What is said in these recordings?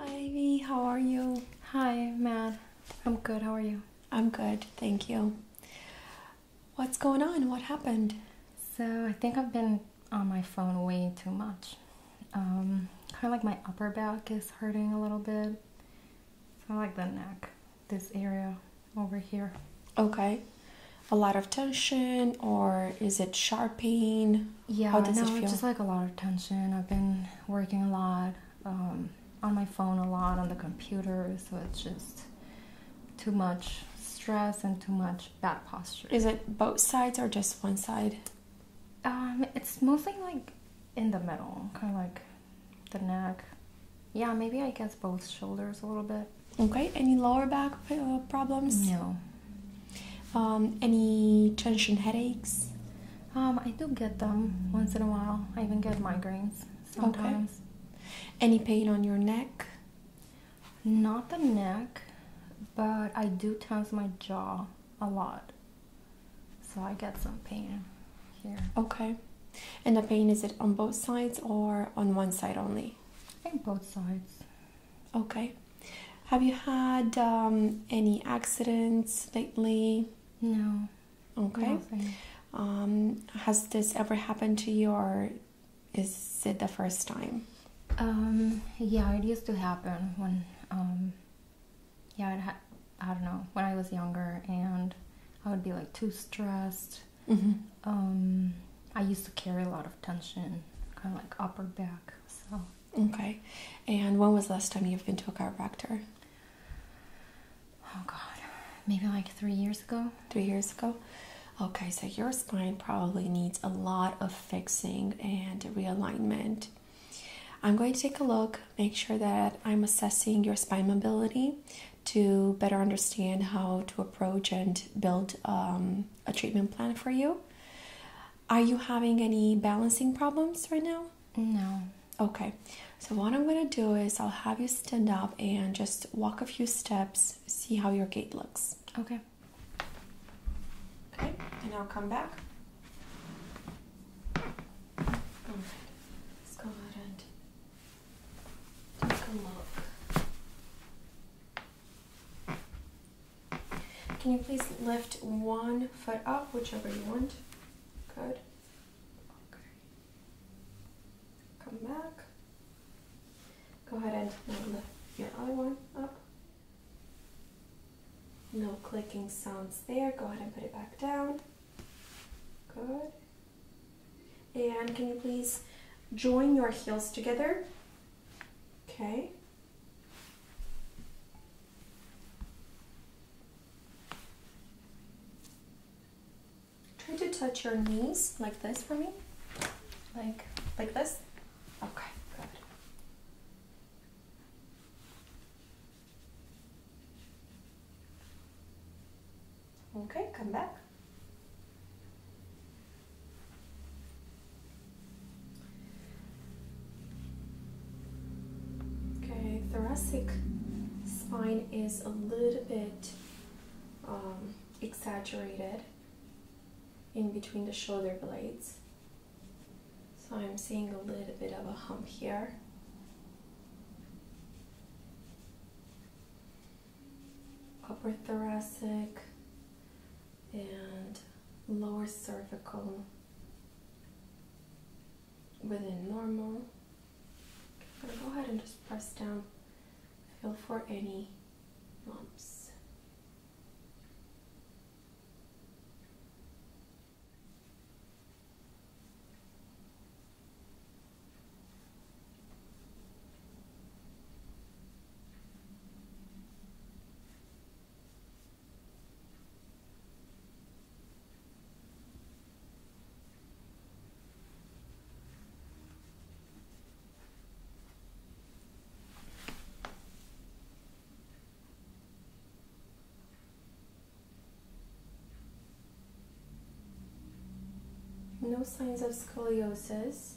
Ivy, how are you? Hi, Matt. I'm good. How are you? I'm good. Thank you. What's going on? What happened? So, I think I've been on my phone way too much. Um, kind of like my upper back is hurting a little bit. It's kind like the neck this area over here. Okay. A lot of tension, or is it sharp pain? Yeah, How does no, it feel? just like a lot of tension. I've been working a lot um, on my phone, a lot on the computer, so it's just too much stress and too much bad posture. Is it both sides or just one side? Um, it's mostly like in the middle, kind of like the neck, yeah, maybe I guess both shoulders a little bit. Okay. Any lower back uh, problems? No. Um, any tension headaches? Um, I do get them once in a while. I even get migraines sometimes. Okay. Any pain on your neck? Not the neck, but I do tense my jaw a lot. So I get some pain here. Okay. And the pain is it on both sides or on one side only? I think both sides. Okay. Have you had um, any accidents lately? No. Okay. Um, has this ever happened to you, or is it the first time? Um, yeah, it used to happen when. Yeah. I don't know. When I was younger, and I would be like too stressed, Mm-hmm. Um, I used to carry a lot of tension, kind of like upper back. So okay. And when was the last time you've been to a chiropractor? Oh God, maybe like three years ago. Three years ago. Okay, so your spine probably needs a lot of fixing and realignment. I'm going to take a look, make sure that I'm assessing your spine mobility to better understand how to approach and build um, a treatment plan for you. Are you having any balancing problems right now? No. Okay. So, what I'm going to do is I'll have you stand up and just walk a few steps, see how your gait looks. Okay. Okay. And I'll come back. right. Let's go ahead and Take a look. Can you please lift one foot up, whichever you want? Good. Okay. Come back. Go ahead and lift your other one up. No clicking sounds there. Go ahead and put it back down. Good. And can you please join your heels together? Okay. Try to touch your knees like this for me. Like like this. Okay, good. Okay, come back. Okay, thoracic spine is a little bit um, exaggerated in between the shoulder blades. So I'm seeing a little bit of a hump here upper thoracic and lower cervical within normal. I'm going to go ahead and just press down, feel for any lumps. No signs of scoliosis.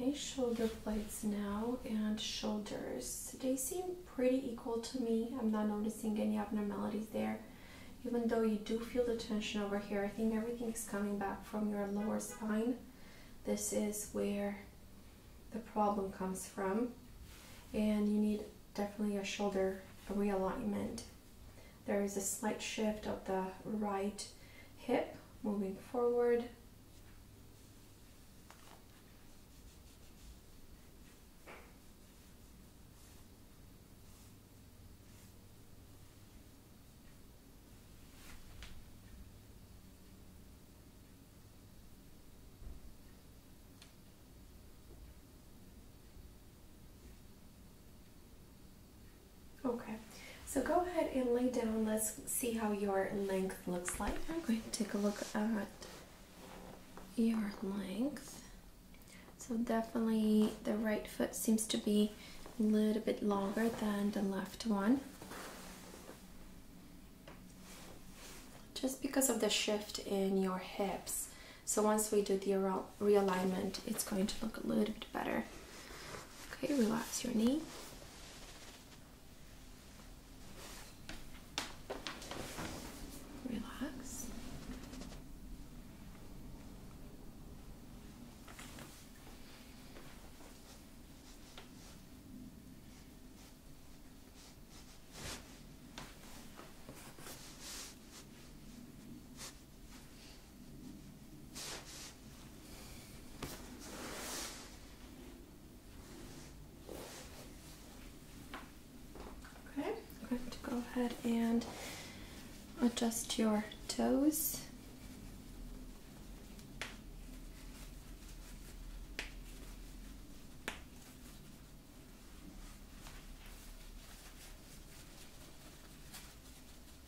Okay, shoulder blades now and shoulders. They seem pretty equal to me. I'm not noticing any abnormalities there. Even though you do feel the tension over here, I think everything is coming back from your lower spine. This is where the problem comes from. And you need definitely a shoulder realignment. There is a slight shift of the right hip moving forward. Okay, so go ahead and lay down. Let's see how your length looks like. I'm going to take a look at your length. So, definitely the right foot seems to be a little bit longer than the left one. Just because of the shift in your hips. So, once we do the realignment, it's going to look a little bit better. Okay, relax your knee. Relax. Okay, I'm going to go ahead and adjust your toes.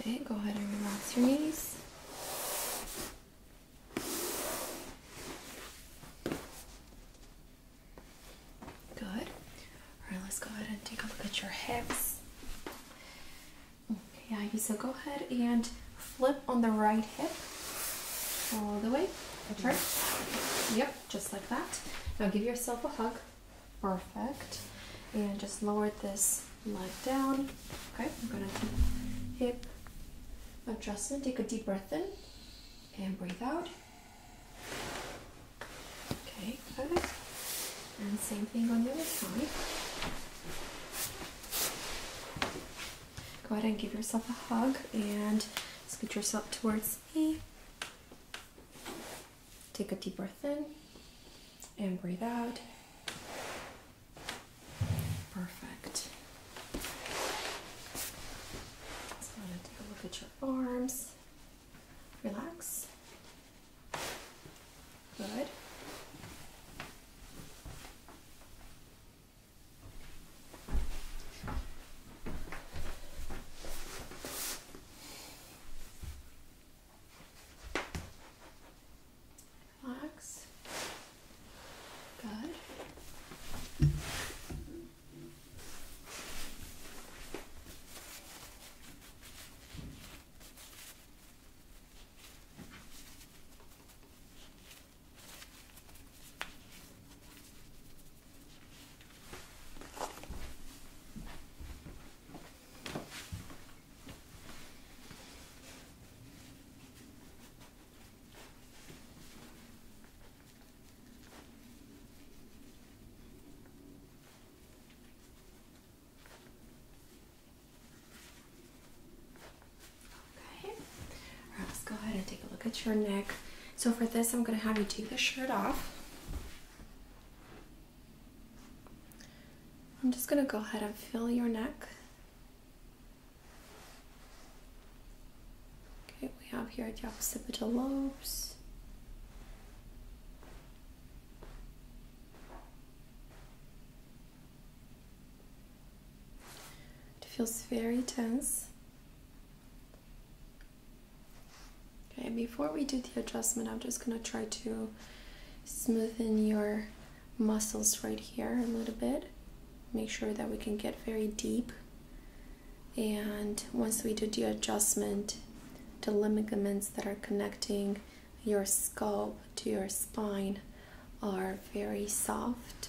Okay, go ahead and relax your knees. Good. Alright, let's go ahead and take a look at your hips. Okay, Ivy, so go ahead and flip on the right hip all the way. Turn. Yep, just like that. Now give yourself a hug. Perfect. And just lower this leg down. Okay, I'm gonna hip adjustment. Take a deep breath in and breathe out. Okay, perfect. And same thing on the other side. Go ahead and give yourself a hug and scoot yourself towards me. Take a deep breath in and breathe out. Perfect. Let's am going take a look at your arms. Relax. Good. Relax. Good. Okay, right, let's go ahead and take a look at your neck. So, for this, I'm going to have you take the shirt off. I'm just going to go ahead and feel your neck. Okay, we have here the occipital lobes. It feels very tense. Okay, before we do the adjustment, I'm just gonna try to smoothen your muscles right here a little bit. Make sure that we can get very deep. And once we do the adjustment, the ligaments that are connecting your scalp to your spine are very soft.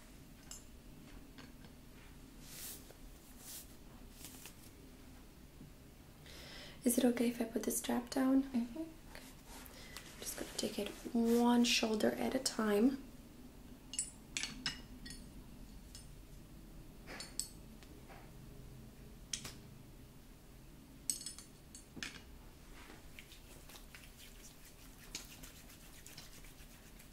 Is it okay if I put the strap down? Mm -hmm. I'm just gonna take it one shoulder at a time.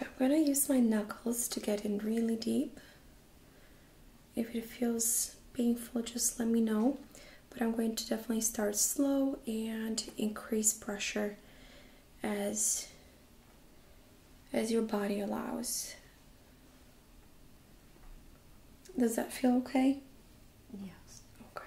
I'm going to use my knuckles to get in really deep. If it feels painful, just let me know. But I'm going to definitely start slow and increase pressure as, as your body allows. Does that feel okay? Yes. Okay.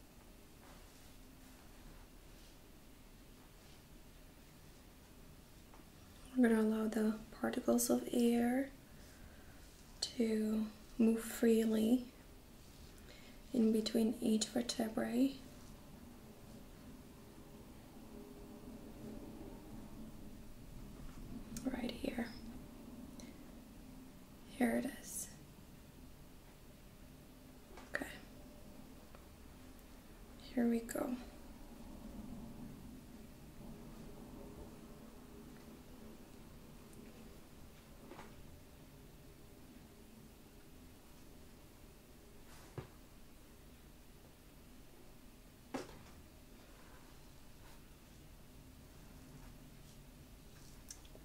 We're going to allow the particles of air to move freely in between each vertebrae. Right here. Here it is. Okay. Here we go.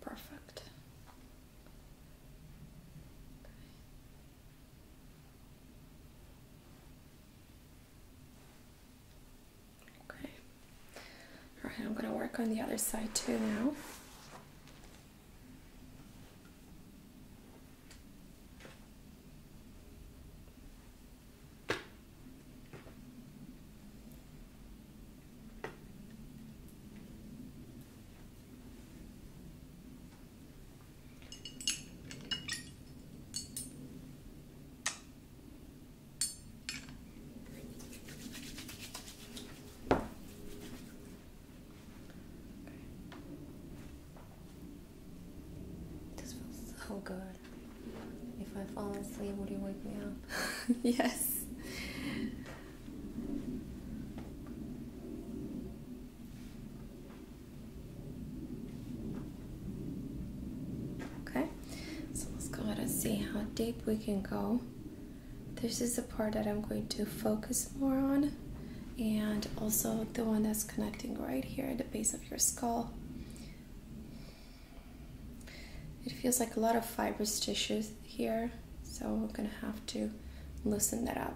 Perfect. Okay. All right, I'm going to work on the other side too now. This feels so good. If I fall asleep, will you wake me up? yes. Okay, so let's go ahead and see how deep we can go. This is the part that I'm going to focus more on and also the one that's connecting right here at the base of your skull. It feels like a lot of fibrous tissues here so I'm gonna have to loosen that up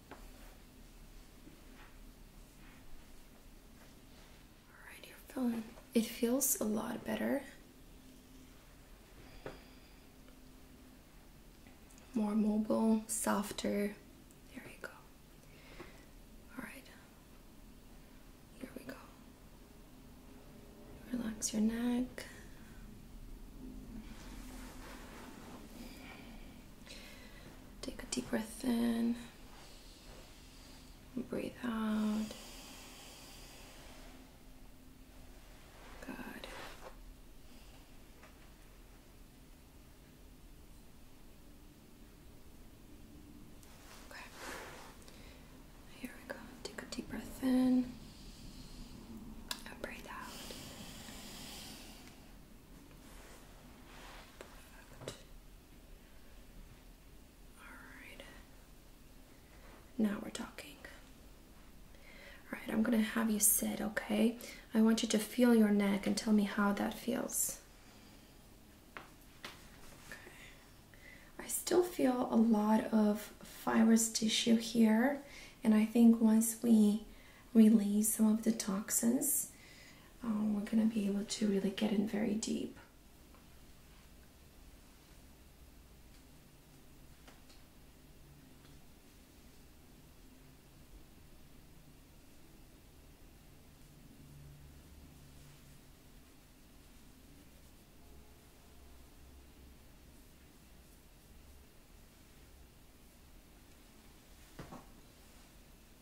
Alright, you're it feels a lot better. More mobile, softer. There you go. Alright. Here we go. Relax your neck. Take a deep breath in, breathe out. Good. Okay. Here we go. Take a deep breath in and breathe out. Perfect. Alright. Now we're talking. Alright, I'm gonna have you sit, okay? I want you to feel your neck and tell me how that feels. Okay. I still feel a lot of fibrous tissue here, and I think once we release some of the toxins, um, we're going to be able to really get in very deep.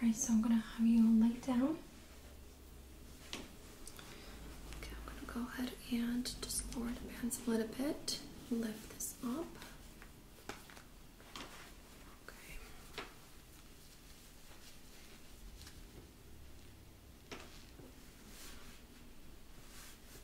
Alright, so I'm gonna have you lay down. Okay, I'm gonna go ahead and just lower the pants a little bit, lift this up.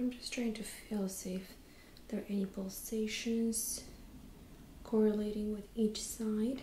I'm just trying to feel see if there are any pulsations correlating with each side.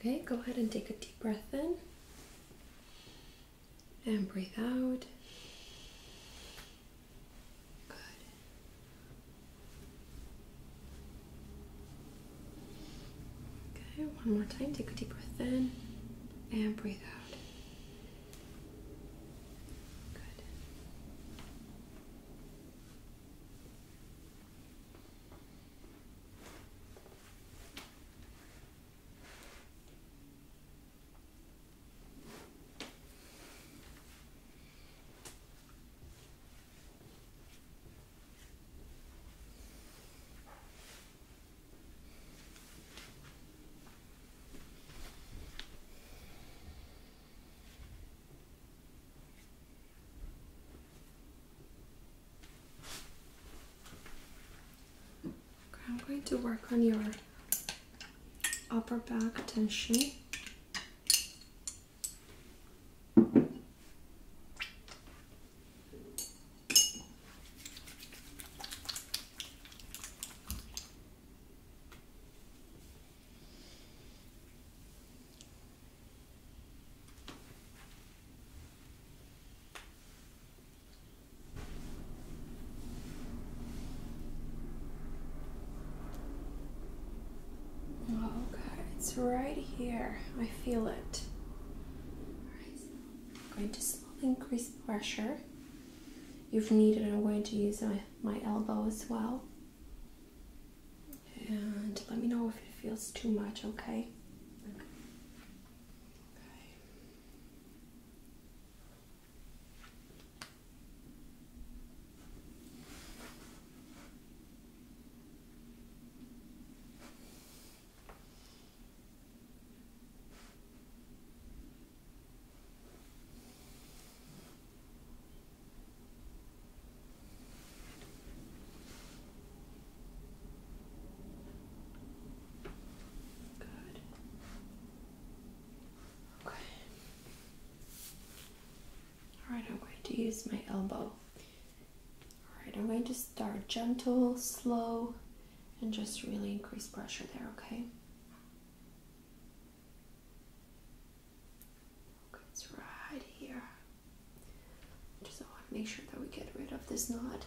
Okay, go ahead and take a deep breath in and breathe out. Good. Okay, one more time. Take a deep breath in and breathe out loud. Good. Good. I'm going to work on your upper back tension. Oh it's right here. I feel it. I'm going to increase pressure. If needed, I'm going to use my, elbow as well. And let me know if it feels too much, okay. Good. Okay. Alright, I'm going to use my elbow. Alright, I'm going to start gentle, slow, and just really increase pressure there, okay? it's right here. Just want to make sure that we get rid of this knot.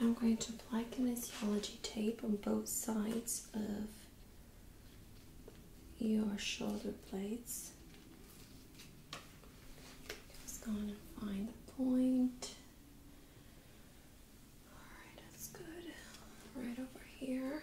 I'm going to apply kinesiology tape on both sides of your shoulder blades. Just going to find the point. Alright, that's good. Right over here.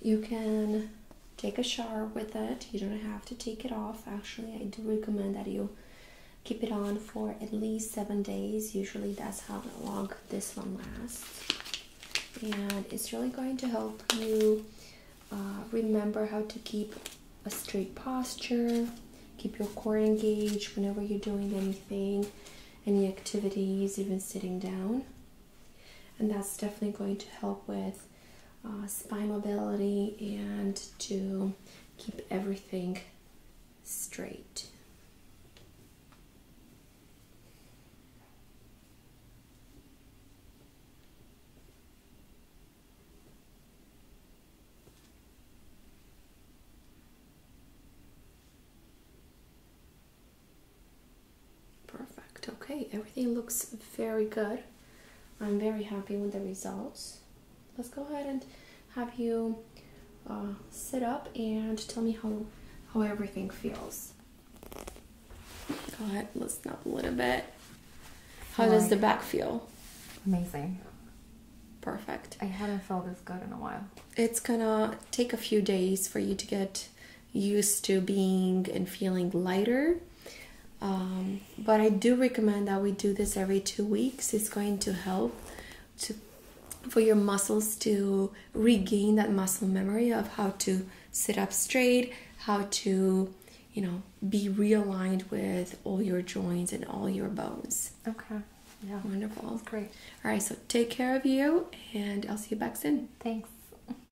you can take a shower with it. You don't have to take it off. Actually, I do recommend that you keep it on for at least seven days. Usually, that's how long this one lasts. And it's really going to help you uh, remember how to keep a straight posture, keep your core engaged whenever you're doing anything, any activities, even sitting down and that's definitely going to help with uh, spine mobility and to keep everything straight. Perfect. Okay, everything looks very good. I'm very happy with the results. Let's go ahead and have you uh, sit up and tell me how how everything feels. Go ahead, listen up a little bit. How does the back feel? Amazing. Perfect. I haven't felt this good in a while. It's gonna take a few days for you to get used to being and feeling lighter. Um, but I do recommend that we do this every two weeks. It's going to help to for your muscles to regain that muscle memory of how to sit up straight, how to, you know, be realigned with all your joints and all your bones. Okay. Yeah. Wonderful. great. All right. So take care of you, and I'll see you back soon. Thanks.